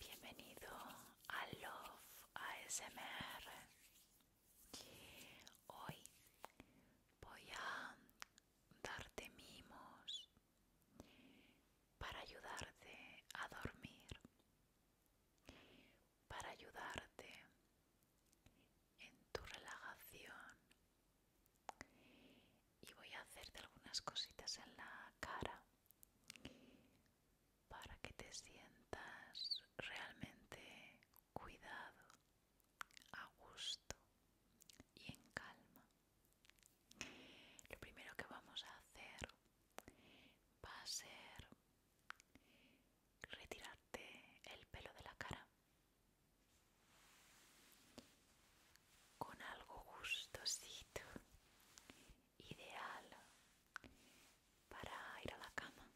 Bienvenido a Love ASMR. Hoy voy a darte mimos para ayudarte a dormir, para ayudarte en tu relajación y voy a hacerte algunas cositas en la cara para que te sientas realmente cuidado, a gusto y en calma. Lo primero que vamos a hacer va a ser retirarte el pelo de la cara con algo gustosito, ideal para ir a la cama.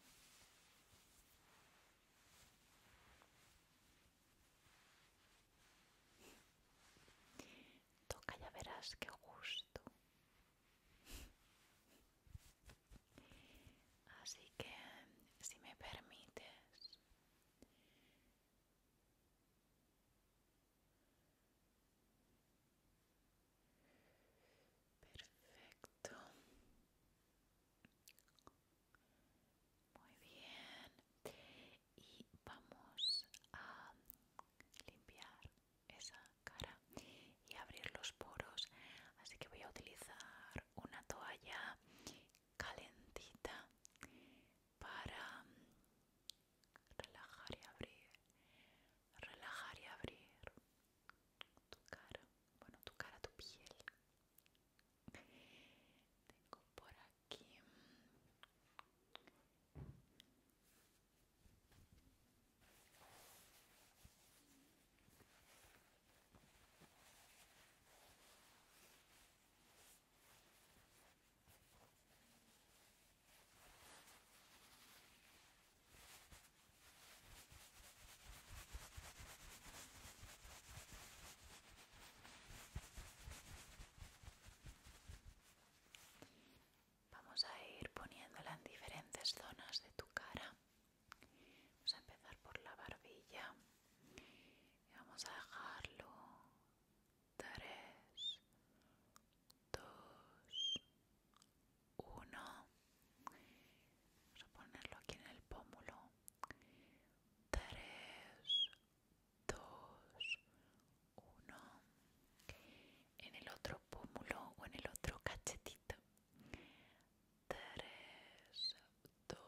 Toca, ya verás qué gusto. Así que, si me permites, Perfecto. Muy bien. Y vamos a limpiar esa cara y abrir los poros. Así que voy a utilizar una toalla calentita para relajar y abrir, relajar y abrir tu cara, bueno tu cara, tu piel. Tengo por aquí Vamos a ir poniéndola en diferentes zonas de tu cara. Vamos a empezar por la barbilla y vamos a dejarlo 3, 2, 1. Vamos a ponerlo aquí en el pómulo. 3, 2, 1. En el otro pómulo o en el otro cachetito. 3, 2,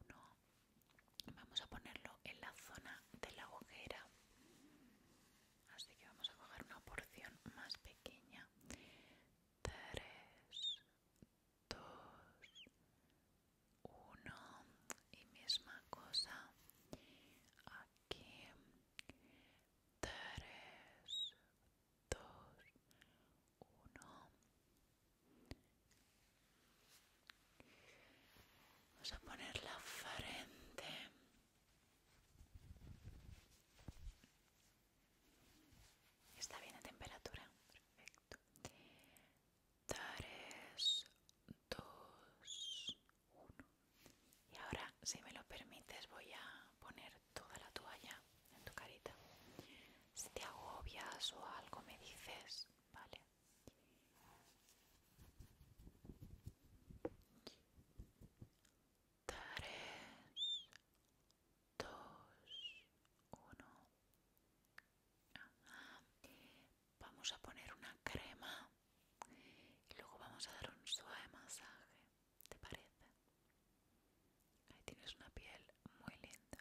uno vamos a ponerlo en la zona de la ojera así que vamos a coger una porción más pequeña 3 2 1 y misma cosa aquí 3 2 1 Vamos a poner la frente. Está bien a temperatura. Perfecto. Tres, dos, uno. Y ahora, si me lo permites, voy a poner toda la toalla en tu carita. Si te agobias o algo me dices, ¿vale? Tres, dos, uno. Vamos a poner una crema y luego vamos a dar un suave masaje. ¿Te parece? Ahí tienes una piel muy linda.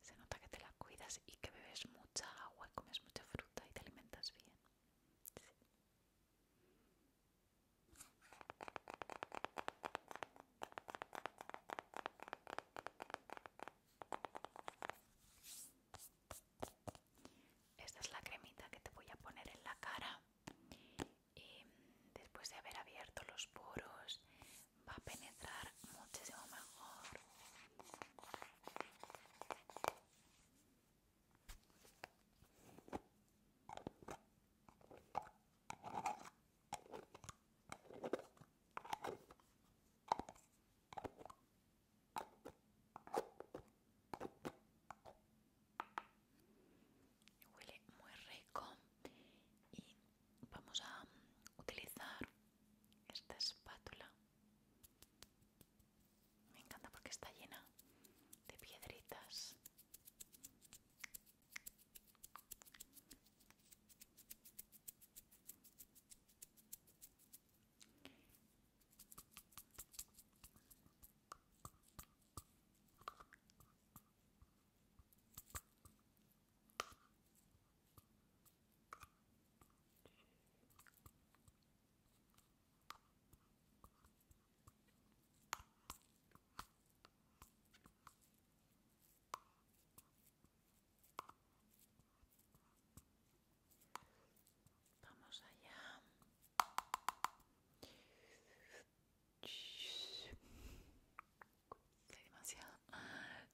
Se nota que te la cuidas y que bebes mucha agua, y comes mucha fruta y te alimentas bien. Esta es la cremita que te voy a poner en la cara y em, después de haber abierto los poros va a penetrar muchísimo mejor Huele muy rico y vamos a utilizar esta espátula. Me encanta porque está llena de piedritas. Vamos allá. demasiado.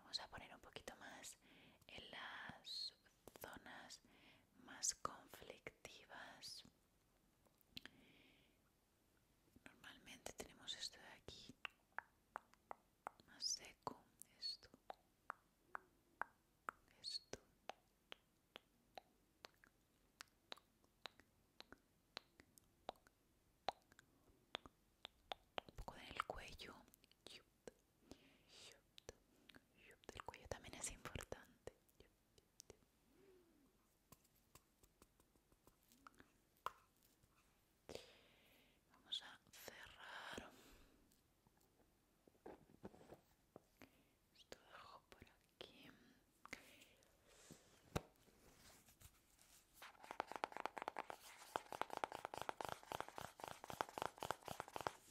Vamos a poner un poquito más en las zonas más conflictivas. Normalmente tenemos esto de aquí, más seco, esto, esto. Un poco en el cuello. El cuello también es importante. Vamos a cerrar. Esto dejo por aquí.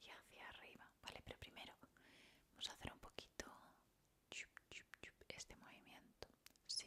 y hacia arriba, ¿vale? Pero primero vamos a hacer un poquito este movimiento, sí.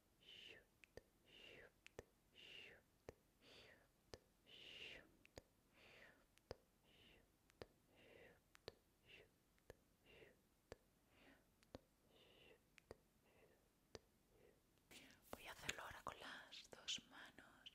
Voy a hacerlo ahora con las dos manos.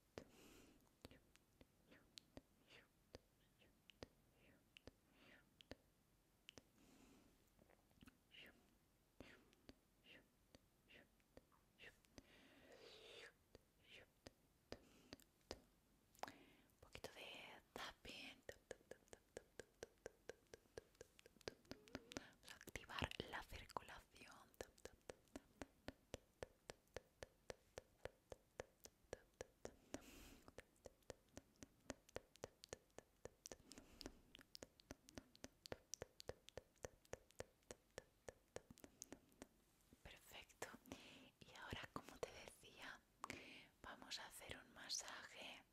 Un poquito de activar la circulación. Perfecto. Y ahora, como te decía, vamos a hacer un masaje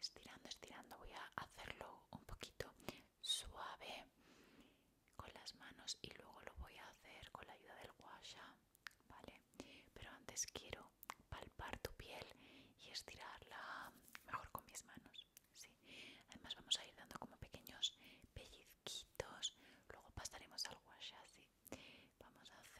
estirando, estirando. Voy a hacerlo un poquito suave con las manos y luego lo voy a hacer con la ayuda del guasha, ¿vale? Pero antes quiero palpar tu piel y estirarla mejor con mis manos, ¿sí? Además vamos a ir dando como pequeños pellizquitos, luego pasaremos al guasha, ¿sí? Vamos a hacer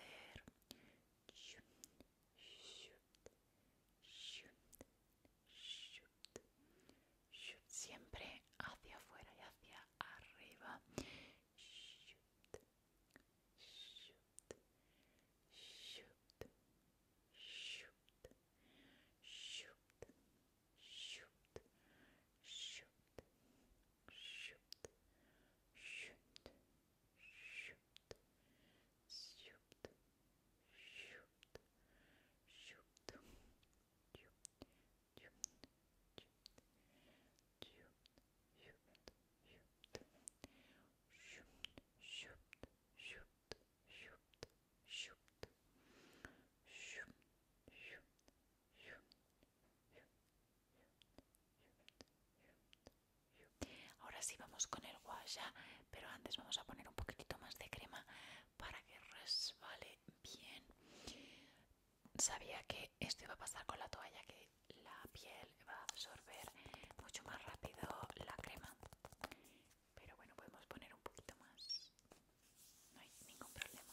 shoot, siempre hacia afuera y hacia arriba. Shoot, shoot, shoot, shoot, shoot, shoot, shoot, shoot, shoot, shoot, shoot, shoot, shoot. Ahora sí vamos con el guaya, pero antes vamos a poner un poquitito más de crema para que resbale bien. Sabía que esto iba a pasar con la toalla, que la piel va a absorber mucho más rápido la crema. Pero bueno, podemos poner un poquito más. No hay ningún problema.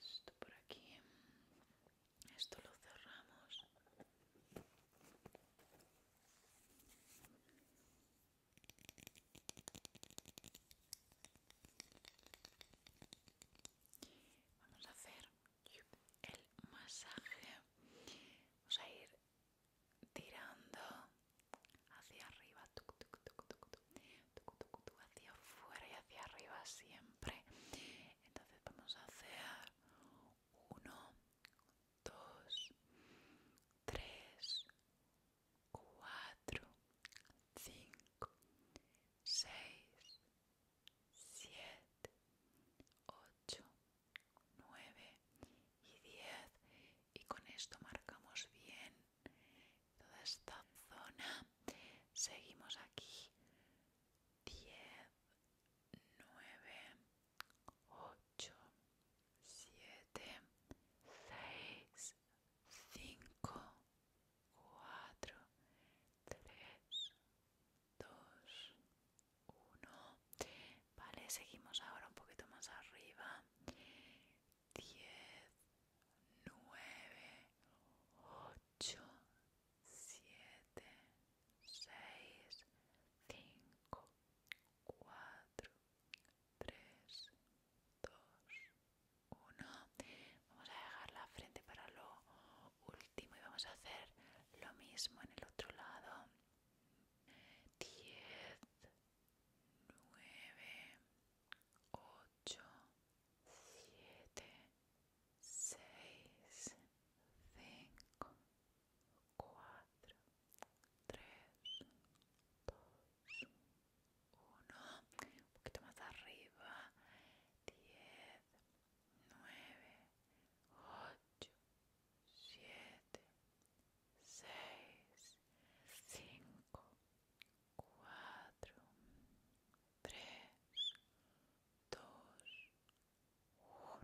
Esto por aquí. Esto lo cerramos. Vamos a hacer el masaje. Vamos a ir tirando hacia arriba, hacia afuera y hacia arriba siempre. Entonces vamos a hacer 1, 2, 3, 4, 5, 6, 7, 8, 9 y 10 y con esto marcamos bien toda esta zona seguimos aquí 10 9 8 7 6 5 4 3 2 1 vale seguimos ahora un poquito más arriba 10 9 8 7 6 5 4 3 2 1 vamos a dejar la frente para lo último y vamos a hacer lo mismo en el otro lado diez, nueve, ocho, siete, seis, cinco, cuatro, tres, dos, uno, un poquito más arriba, diez, nueve, ocho, siete, seis, cinco, cuatro, tres, dos, uno.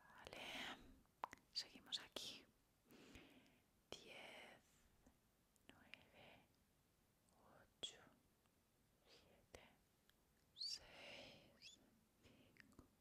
Vale, seguimos aquí. Diez, nueve, ocho, siete, seis, cinco.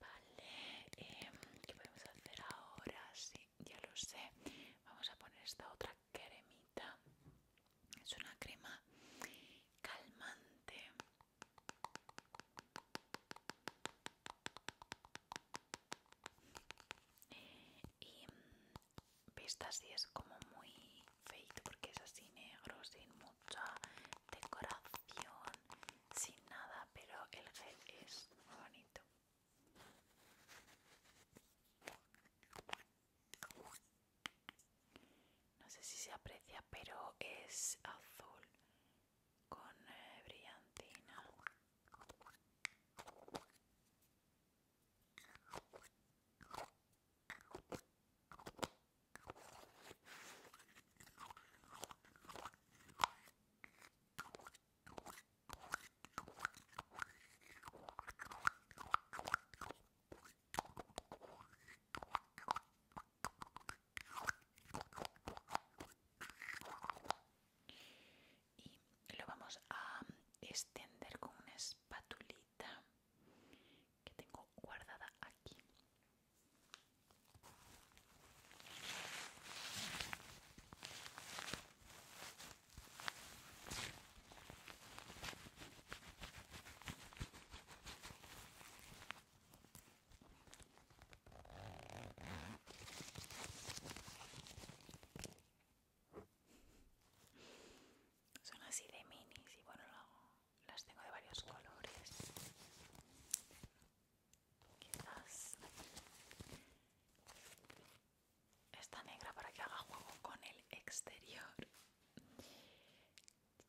Vale, em, ¿qué podemos hacer ahora? Sí, ya lo sé. Vamos a poner esta otra cremita. Es una crema calmante y mm, vista así es como muy feito porque es así negro, sin mucha decoración, sin nada, pero el gel es muy bonito. No sé si se aprecia, pero es azul con eh, brillantina y lo vamos a extender con una espatulita que tengo guardada aquí son así de minis y bueno, las tengo de varios colores. Quizás esta negra para que haga juego con el exterior.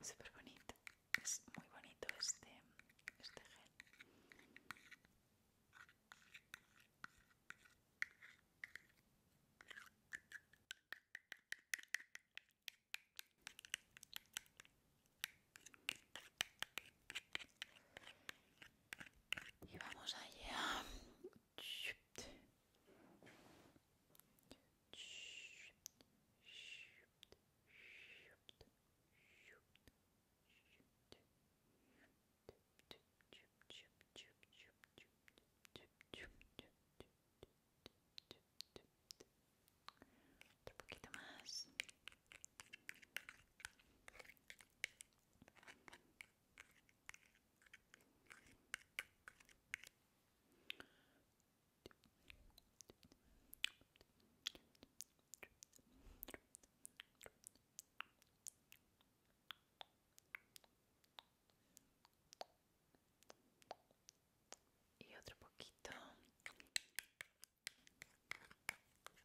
Es súper bonito, es muy bonito este, este gel. Y vamos allá. un poquito más y otro poquito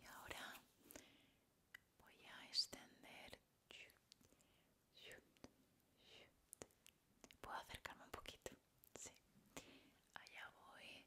Y ahora voy a extender. Puedo acercarme un poquito. Sí. Allá voy.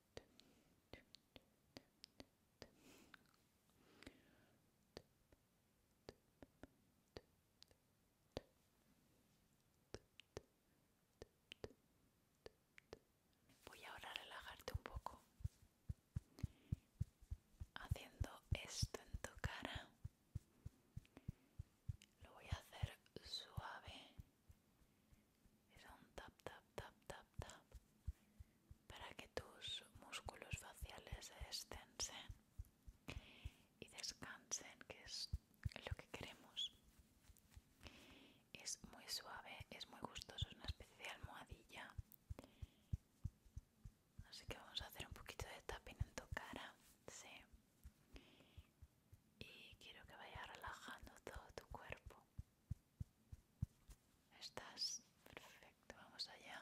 Voy ahora a relajarte un poco haciendo esto en tu cara. Lo voy a hacer suave es un tap tap tap tap tap para que tus músculos faciales se extensen y descansen que es lo que queremos es muy suave es muy gustoso es una especie de almohadilla así que vamos a hacer un poquito de tapping en tu cara sí y quiero que vaya relajando todo tu cuerpo ¿Estás? Perfecto, vamos allá.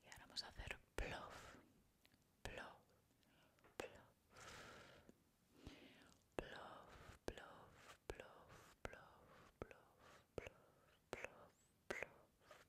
Y ahora vamos a hacer plof, plof, plof, plof, plof, plof, plof, plof, plof, plof, plof,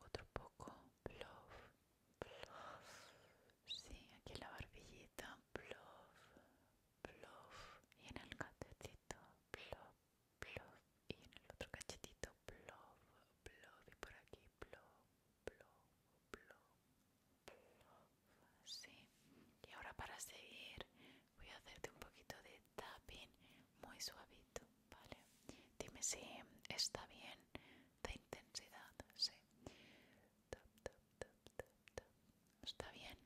otro poco, plof, plof, sí, aquí en la barbillita, plof, plof, y en el cachetito, plof, plof, y en el otro cachetito, plof, plof, y por aquí, plof, plof, plof, Bluff sí, y ahora para seguir voy a hacerte un poquito de tapping muy suavito. Vale. Dime si está bien de intensidad. Sí. Está bien.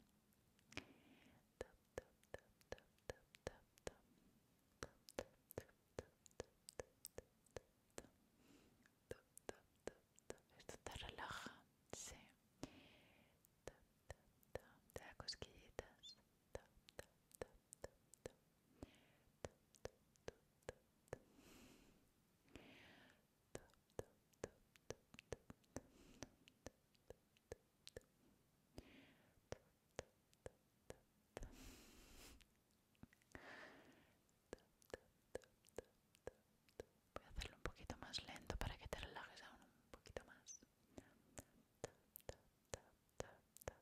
Esto te relaja, sí. Voy a hacerlo un poquito más lento para que te relajes aún un poquito más.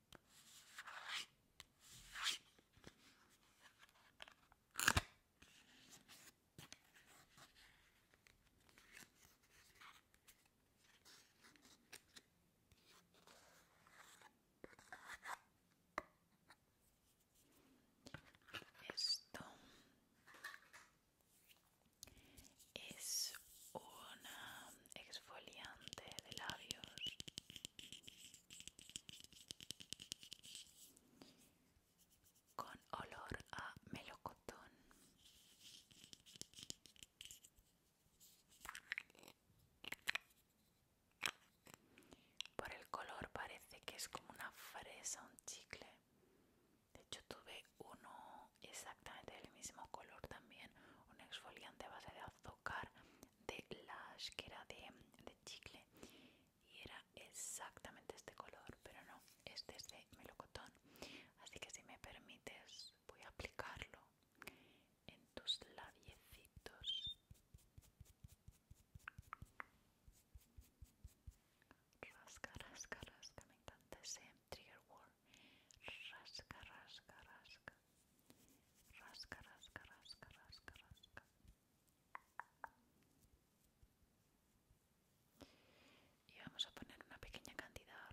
Esto es una exfoliante de labios con olor a melocotón. Por el color parece que es como una fresa, un chicle. De hecho tuve uno exactamente del mismo color también un exfoliante a base de azúcar de Lash que era de, chicle y era exactamente este color pero no, este es de melocotón así que si me permites voy a aplicarlo en tus labiecitos rascar, caras rasca me encanta ese trigger word rasca, rasca, rasca, rasca, rasca, rasca, rasca, rasca. Y vamos a poner una pequeña cantidad.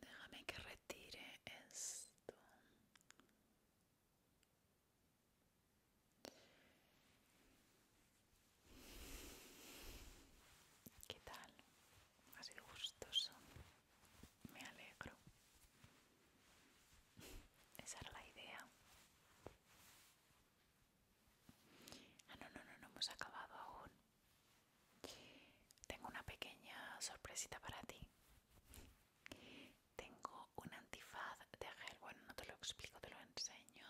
Déjame que retire esto. ¿Qué tal? Más de gustoso. Me alegro. Esa era la idea. Ah, no, no, no, no hemos acabado aún. Tengo una pequeña sorpresita para ti. Tengo un antifaz de gel. Bueno, no te lo explico, te lo enseño.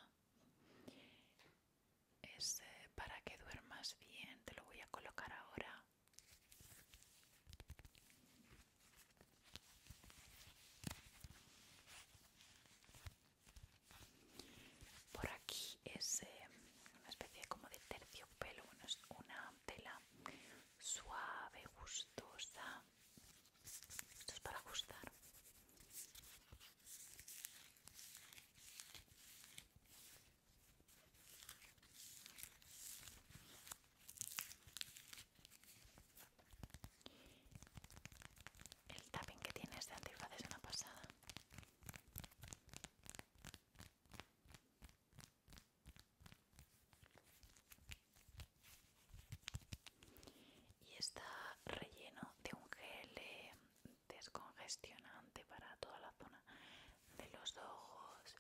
Es eh, para que duermas bien. Te lo voy a colocar ahora. Por aquí es eh, una especie como de terciopelo, bueno, es una tela suave, gustosa. Esto es para gustar. El tapping que tiene este antifaz es una pasada y está relleno de un gel eh, descongestionante para toda la zona de los ojos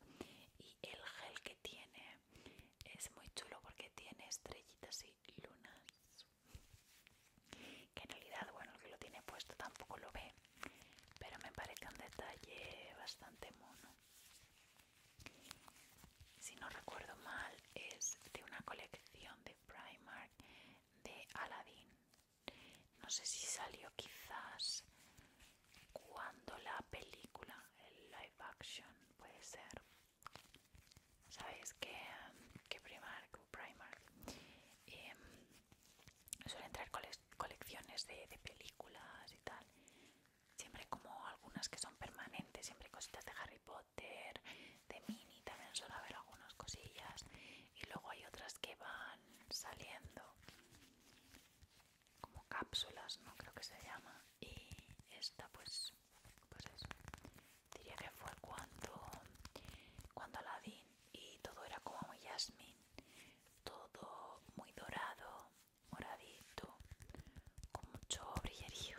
y el gel que tiene es muy chulo porque tiene estrellitas y lunas que en realidad bueno el que lo tiene puesto tampoco lo ve pero me parece un detalle bastante mono si no recuerdo mal es de una colección de Primark de Aladdin no sé si salió quizás cuando la película el live action puede ser sabéis que, um, que Primark Primark em, suelen traer colecciones de, películas y tal siempre como algunas que son permanentes siempre cositas de Harry Potter de Minnie también suele haber algunas cosillas y luego hay otras que van saliendo como cápsulas no creo que se llama y esta pues pues eso diría que fue cuando, cuando vi y todo era como muy jazmín, todo muy dorado, moradito, con mucho brillerío.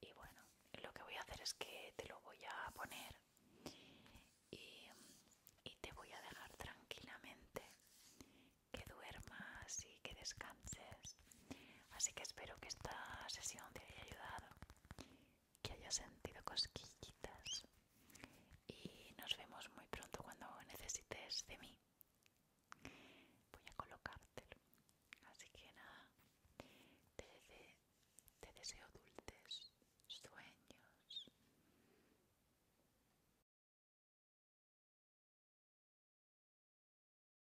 Y bueno, lo que voy a hacer es que te lo voy a poner y te voy a dejar tranquilamente que duermas y que descanses Así que espero que esta sesión te haya ayudado, que hayas sentido cosquillitas y nos vemos muy pronto cuando necesites de mí. Voy a colocártelo. Así que nada, te, te deseo dulces sueños.